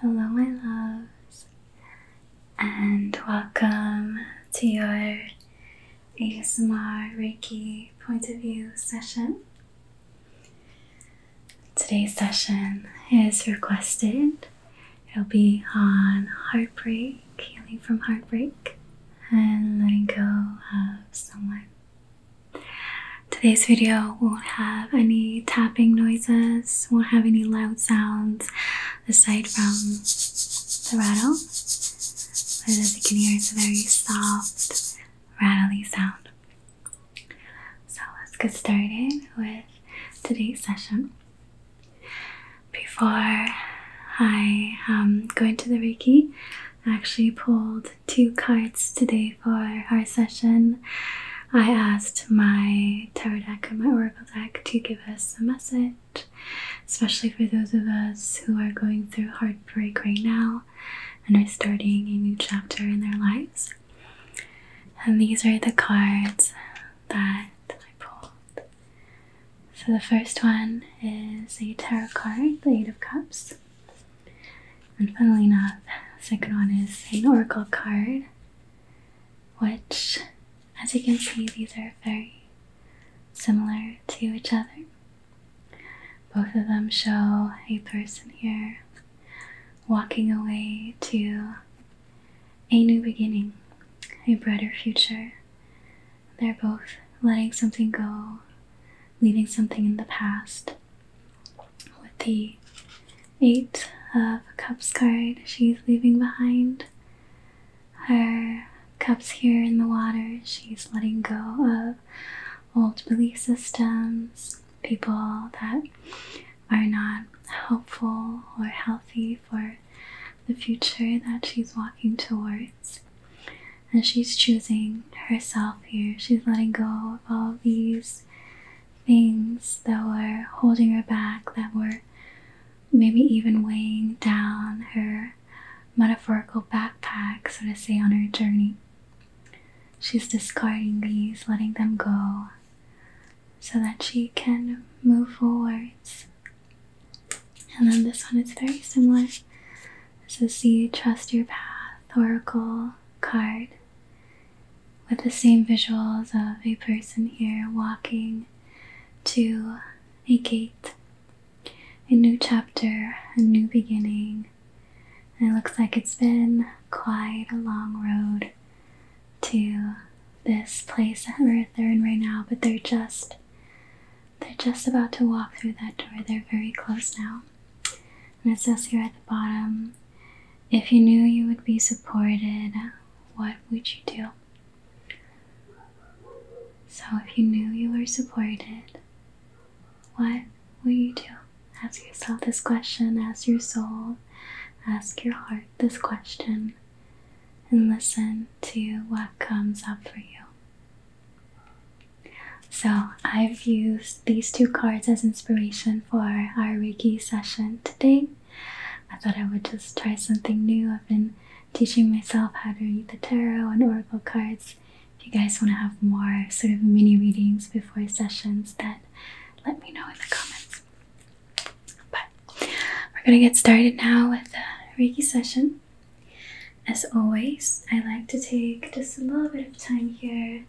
Hello, my loves, and welcome to your ASMR Reiki point of view session. Today's session is requested, it'll be on heartbreak, healing from heartbreak, and letting go of someone. Today's video won't have any tapping noises, won't have any loud sounds aside from the rattle. But as you can hear, it's a very soft, rattly sound. So let's get started with today's session. Before I um, go into the Reiki, I actually pulled two cards today for our session, I asked my tarot deck and my oracle deck to give us a message, especially for those of us who are going through heartbreak right now and are starting a new chapter in their lives. And these are the cards that I pulled. So the first one is a tarot card, the Eight of Cups. And finally, enough, the second one is an oracle card, which, as you can see, these are very similar to each other. Both of them show a person here walking away to a new beginning, a brighter future. They're both letting something go, leaving something in the past, with the Eight of Cups card. She's leaving behind her cups here in the water. She's letting go of old belief systems, people that are not helpful or healthy for the future that she's walking towards. And she's choosing herself here. She's letting go of all these things that were holding her back, that were maybe even weighing down her metaphorical backpack, so to say, on her journey. She's discarding these, letting them go, so that she can move forwards. And then this one is very similar. This is the Trust Your Path Oracle card with the same visuals of a person here walking to a gate. A new chapter, a new beginning. it looks like it's been quite a long road to this place that we're, they're in right now, but they're just they're just about to walk through that door. They're very close now. And it's us here at the bottom, if you knew you would be supported, what would you do? So, if you knew you were supported, what will you do? Ask yourself this question, ask your soul, ask your heart this question, and listen to what comes up for you. So, I've used these two cards as inspiration for our Reiki session today. I thought I would just try something new. I've been teaching myself how to read the tarot and oracle cards. If you guys want to have more sort of mini readings before sessions, then let me know in the comments. But we're going to get started now with the Reiki session. As always, I like to take just a little bit of time here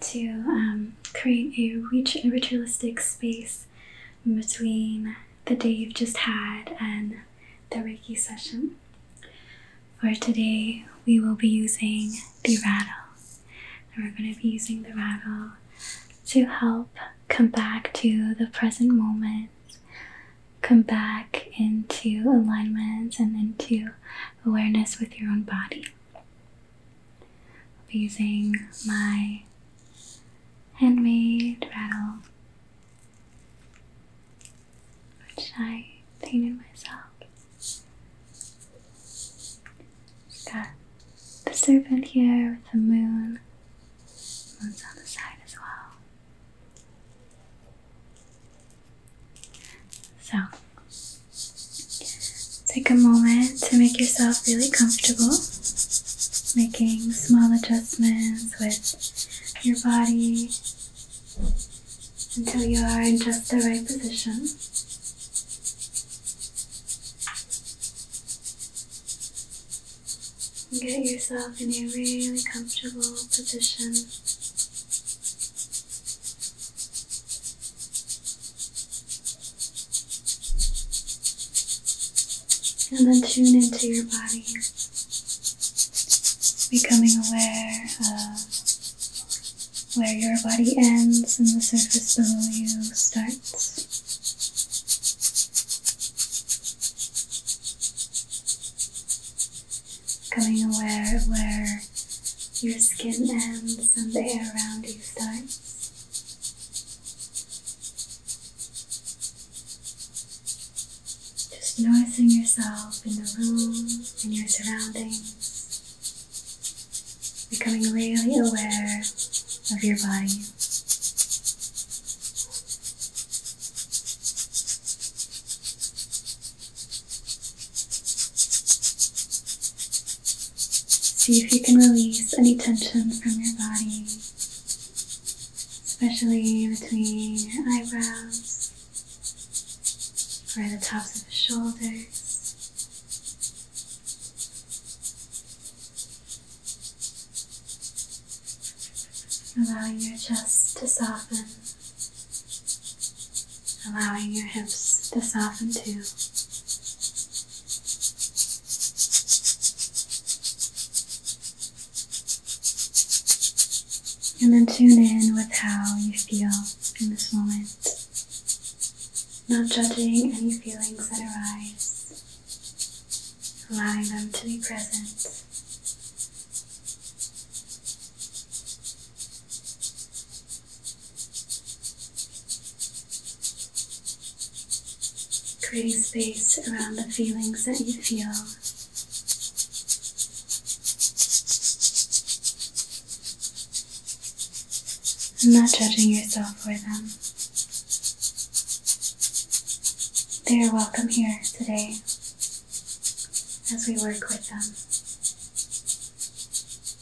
to um, create a rich, ritualistic space between the day you've just had and the Reiki session. For today, we will be using the rattle. And we're going to be using the rattle to help come back to the present moment, come back into alignment and into awareness with your own body. I'll be using my handmade rattle, which I painted myself. got the serpent here with the moon. Moon's on the side as well. So Take a moment to make yourself really comfortable, making small adjustments with your body until you are in just the right position. Get yourself in a really comfortable position. And then tune into your body, becoming aware of where your body ends and the surface below you starts. Becoming aware of where your skin ends and the air around you starts. Just noticing yourself in the room, in your surroundings, becoming really aware of your body. See if you can release any tension from your body, especially between your eyebrows at the tops of the shoulders. Allowing your chest to soften, allowing your hips to soften too. And then tune in with how you feel in this moment. Not judging any feelings that arise, allowing them to be present. Creating space around the feelings that you feel. And not judging yourself for them. They are welcome here today as we work with them.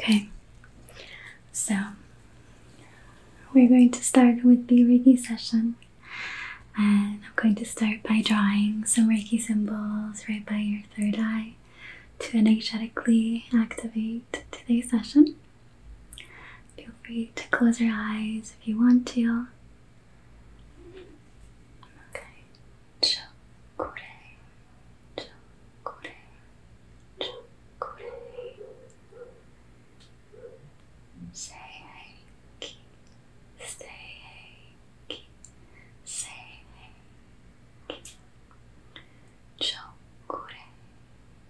Okay, so we're going to start with the Reiki session, and I'm going to start by drawing some Reiki symbols right by your third eye to energetically activate today's session. Feel free to close your eyes if you want to. Okay. Chokure. Chokure. Chokure. Say hey. Say hey. Say hey chokure,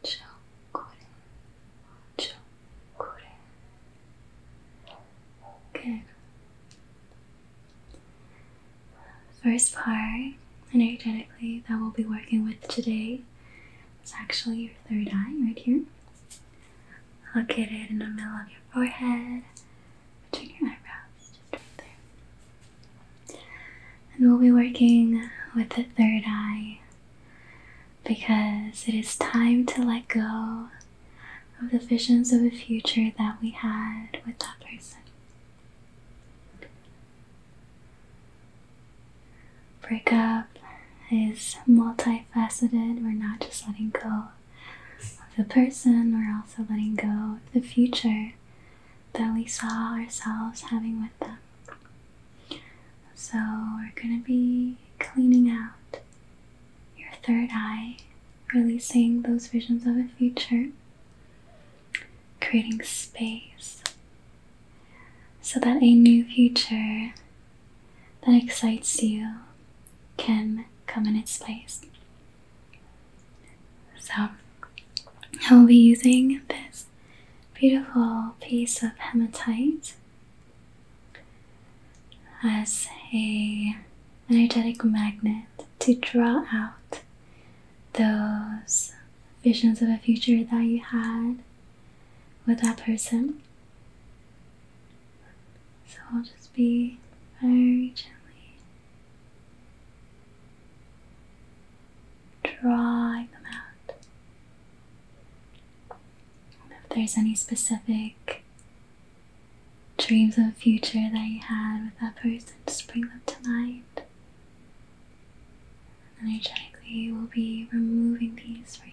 chokure, chokure. Good. First part, energetically, that we'll be working with today is actually your third eye right here. Located in the middle of your forehead, between your eyebrows. And we'll be working with the third eye because it is time to let go of the visions of a future that we had with that person. Breakup is multifaceted. We're not just letting go of the person, we're also letting go of the future that we saw ourselves having with them. So, we're going to be cleaning out your third eye, releasing those visions of the future, creating space so that a new future that excites you can come in its place. So I will be using this beautiful piece of hematite as a energetic magnet to draw out those visions of a future that you had with that person. So I'll just be very gently drawing them out. if there's any specific dreams of the future that you had with that person, just bring them to mind. energetically, we'll be removing these for you.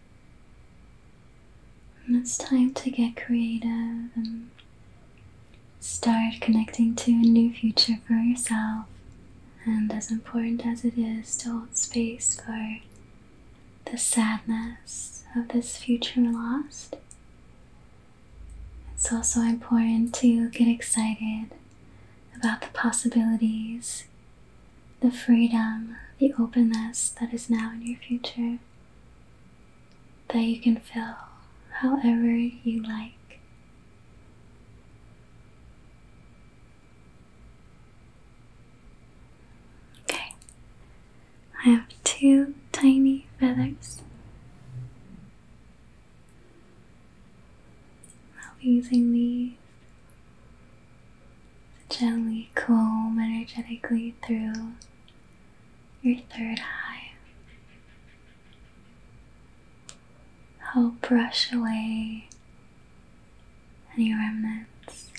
And it's time to get creative and start connecting to a new future for yourself. And as important as it is to hold space for the sadness of this future lost, it's also important to get excited about the possibilities, the freedom, the openness that is now in your future that you can fill however you like. Okay, I have two tiny feathers. I'll be using these to gently comb energetically through your third eye. I'll brush away any remnants,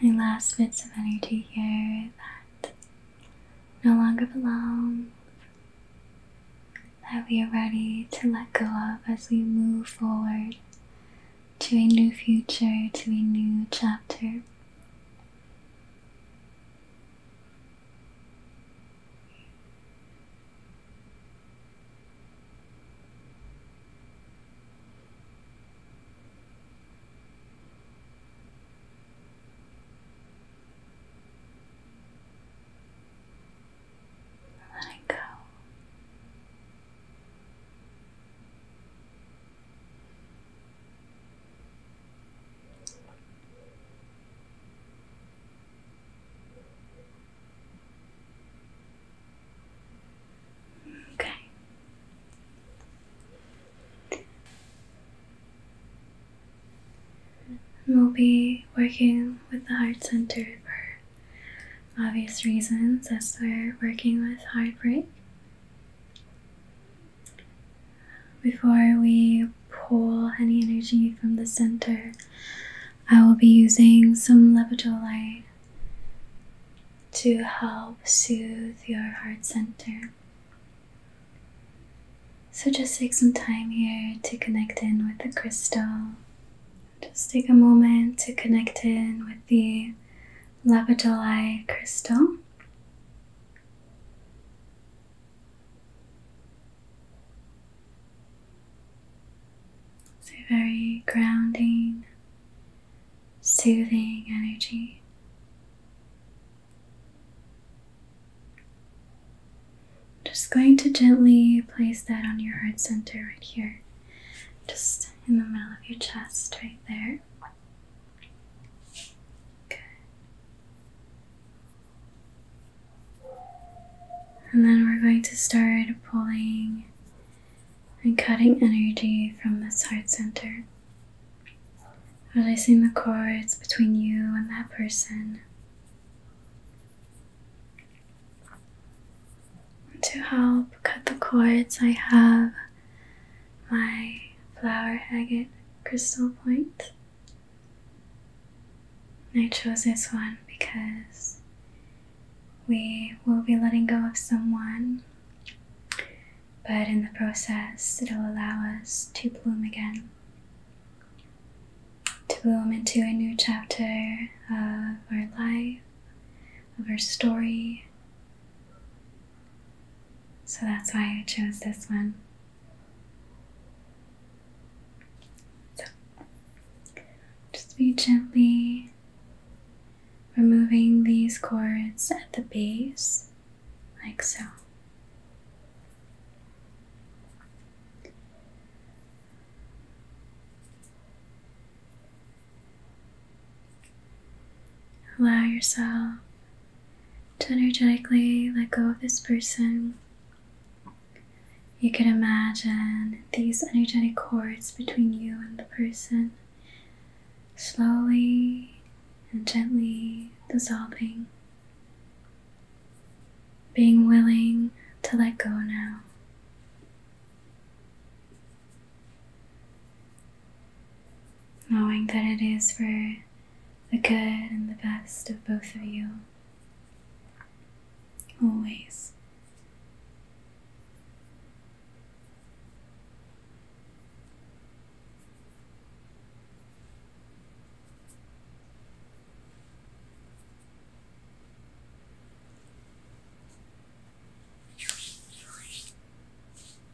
any last bits of energy here that no longer belong, that we are ready to let go of as we move forward to a new future, to a new chapter. Let go. Okay. we'll be working with the heart center for obvious reasons as we're working with heartbreak. Before we pull any energy from the center, I will be using some Levitolite to help soothe your heart center. So just take some time here to connect in with the crystal. Just take a moment to connect in with the lapidolite crystal. So very grounding, soothing energy. Just going to gently place that on your heart center right here, just in the middle of your chest, right there. And then we're going to start pulling and cutting energy from this heart center, releasing the cords between you and that person. To help cut the cords, I have my flower agate crystal point. I chose this one because we will be letting go of someone, but in the process, it'll allow us to bloom again, to bloom into a new chapter of our life, of our story, so that's why I chose this one. So just be gently removing these cords at the base, like so. Allow yourself to energetically let go of this person. You can imagine these energetic cords between you and the person slowly and gently dissolving. Being willing to let go now knowing that it is for the good and the best of both of you. Always.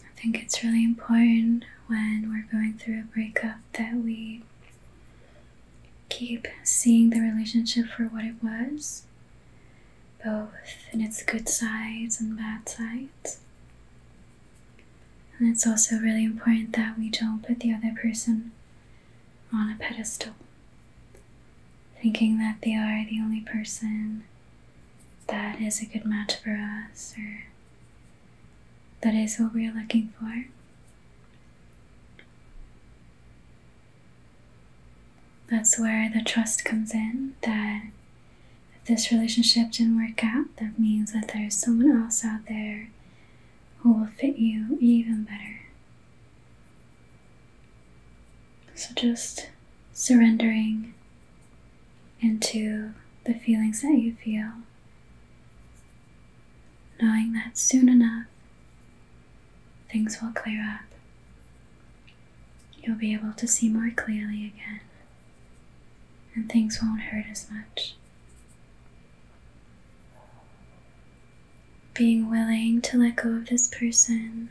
I think it's really important when we're going through a breakup that we keep seeing the relationship for what it was, both in its good sides and bad sides. And it's also really important that we don't put the other person on a pedestal, thinking that they are the only person that is a good match for us or that is what we are looking for. That's where the trust comes in that if this relationship didn't work out, that means that there's someone else out there who will fit you even better. So just surrendering into the feelings that you feel, knowing that soon enough things will clear up. You'll be able to see more clearly again, and things won't hurt as much. Being willing to let go of this person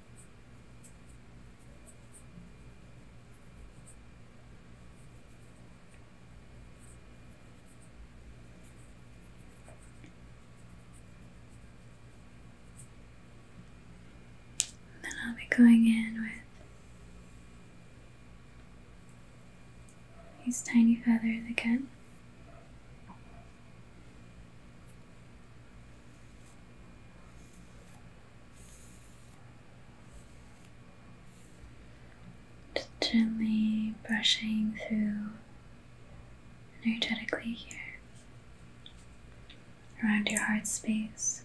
Then I'll be going in with these tiny feathers again. Just gently brushing through energetically here around your heart space,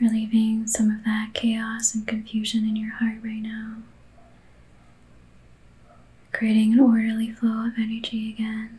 relieving some of that chaos and confusion in your heart right now creating an orderly flow of energy again.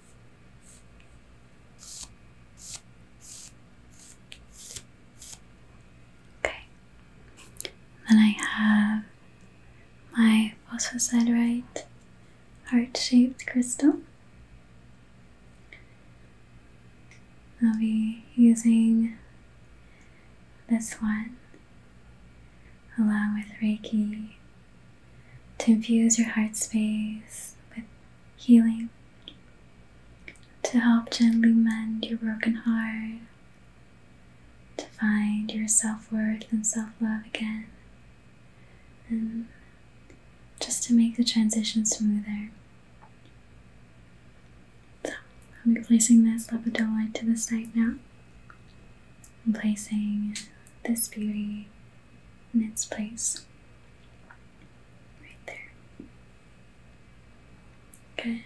Okay. Then I have my phosphosiderite heart-shaped crystal. I'll be using this one along with Reiki to infuse your heart space with healing to help gently mend your broken heart, to find your self worth and self love again, and just to make the transition smoother. So, i will be placing this lepidolite to the side now. I'm placing this beauty in its place. Right there. Okay.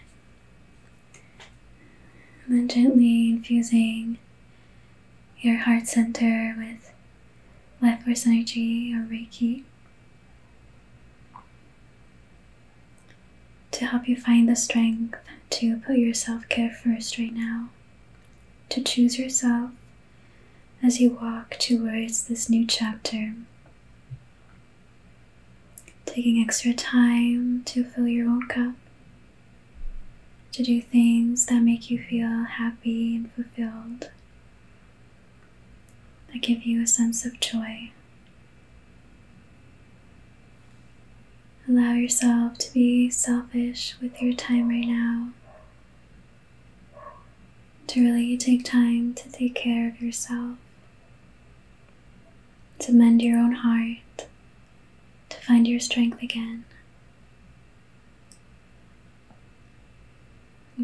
And then gently infusing your heart center with life force energy or Reiki to help you find the strength to put your self care first right now, to choose yourself as you walk towards this new chapter. Taking extra time to fill your own cup, to do things that make you feel happy and fulfilled, that give you a sense of joy. Allow yourself to be selfish with your time right now to really take time to take care of yourself, to mend your own heart, to find your strength again,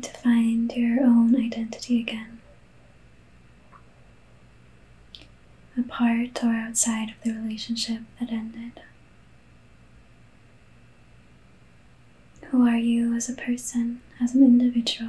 to find your own identity again, apart or outside of the relationship that ended. Who are you as a person, as an individual?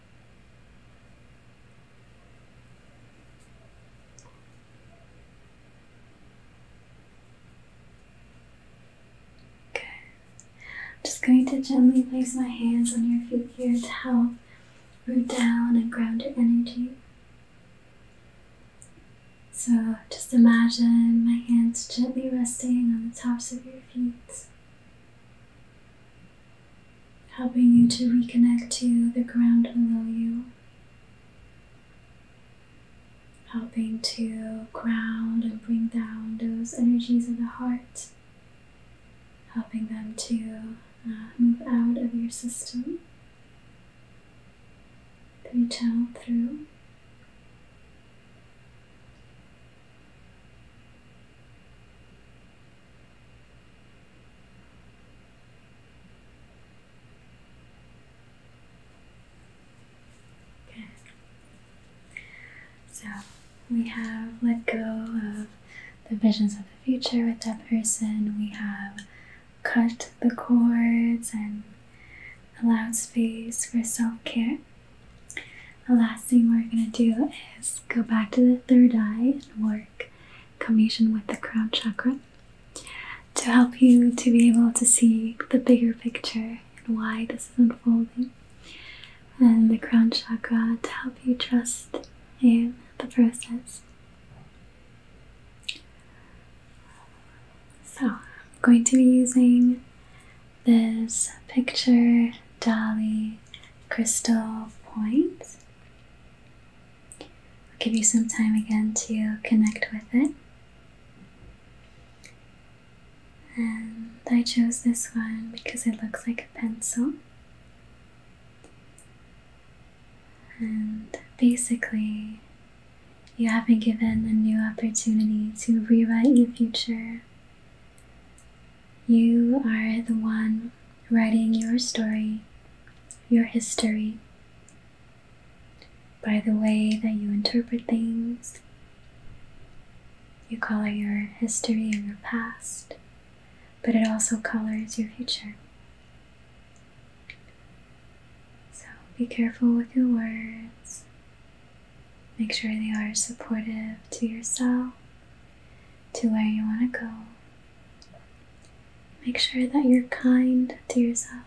Okay. I'm just going to gently place my hands on your feet here to help root down and ground your energy. So just imagine my hands gently resting on the tops of your feet helping you to reconnect to the ground below you, helping to ground and bring down those energies of the heart, helping them to uh, move out of your system, that you channel through. Okay. So we have let go of the visions of the future with that person. We have cut the cords and allowed space for self care. The last thing we're going to do is go back to the third eye and work communion with the crown chakra to help you to be able to see the bigger picture and why this is unfolding. And the crown chakra to help you trust in the process. So, I'm going to be using this picture, Dolly, crystal point. I'll give you some time again to connect with it. And I chose this one because it looks like a pencil. And basically, you have been given a new opportunity to rewrite your future you are the one writing your story, your history, by the way that you interpret things. You color your history and your past, but it also colors your future. So be careful with your words. Make sure they are supportive to yourself to where you want to go. Make sure that you're kind to yourself.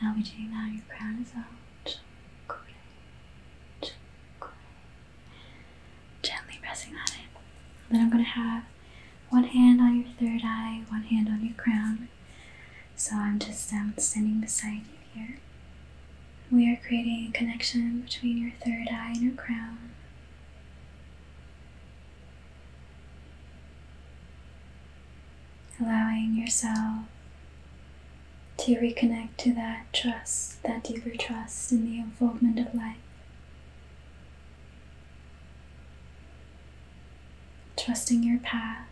Now we do now your crown is out. Great. Great. Gently pressing that in. then I'm gonna have one hand on your third eye, one hand on your crown. So I'm just um, standing beside you here. We are creating a connection between your third eye and your crown. Allowing yourself to reconnect to that trust, that deeper trust in the unfoldment of life. Trusting your path.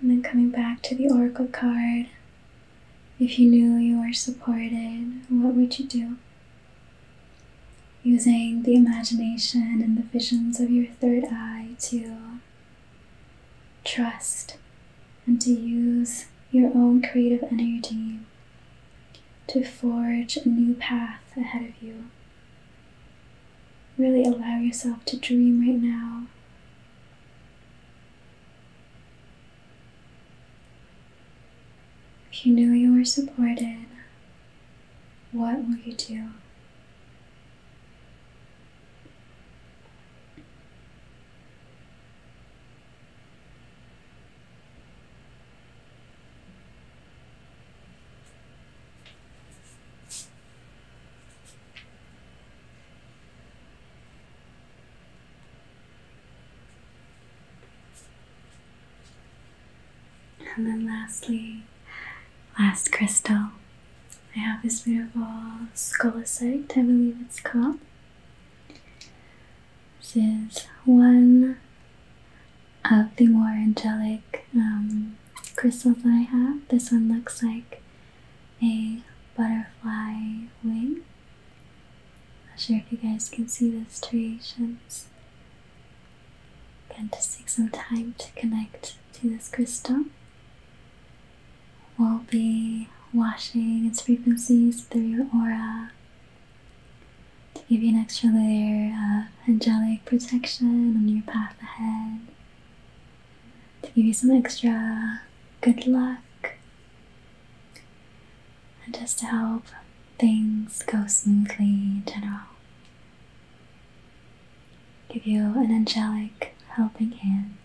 And then coming back to the oracle card. If you knew you were supported, what would you do? using the imagination and the visions of your third eye to trust and to use your own creative energy to forge a new path ahead of you. Really allow yourself to dream right now. If you knew you were supported, what would you do? And then lastly, last crystal. I have this beautiful scolasite, I believe it's called. This is one of the more angelic um, crystals that I have. This one looks like a butterfly wing. Not sure if you guys can see those striations. Again, just take some time to connect to this crystal. We'll be washing its frequencies through your aura to give you an extra layer of angelic protection on your path ahead, to give you some extra good luck, and just to help things go smoothly in general. Give you an angelic helping hand.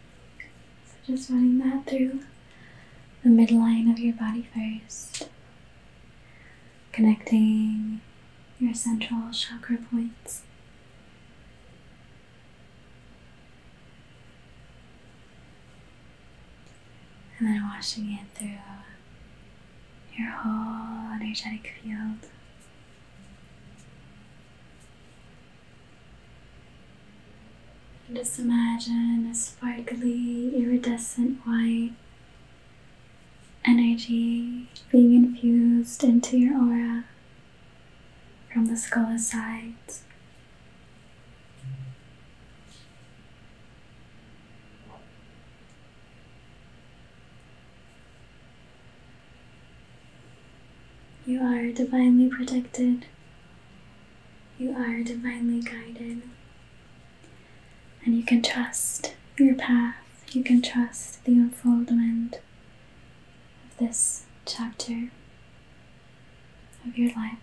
So just running that through the midline of your body first, connecting your central chakra points and then washing it through uh, your whole energetic field. just imagine a sparkly, iridescent white energy being infused into your aura from the skull's sides you are divinely protected. You are divinely guided. And you can trust your path. You can trust the unfoldment of this chapter of your life.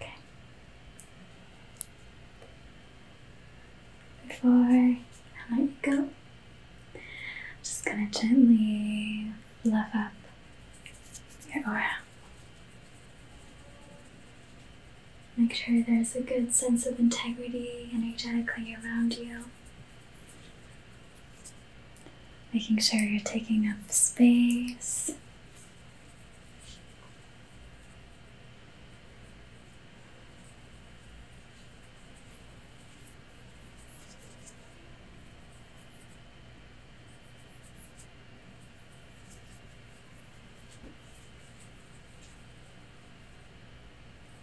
Okay. Before I let you go, I'm just gonna gently fluff up your aura. Make sure there's a good sense of integrity energetically around you making sure you're taking up space.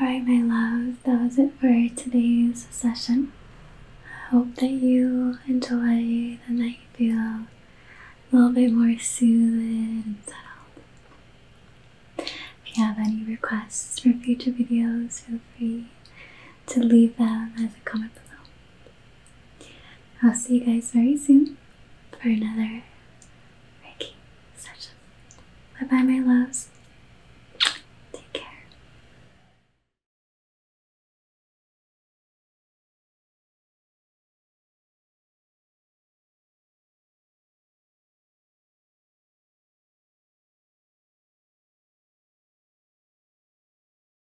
Alright, my love, that was it for today's session. I hope that you enjoyed and that you feel a little bit more soothed and settled. If you have any requests for future videos, feel free to leave them as a comment below. I'll see you guys very soon for another Reiki session. Bye bye, my loves. Take care.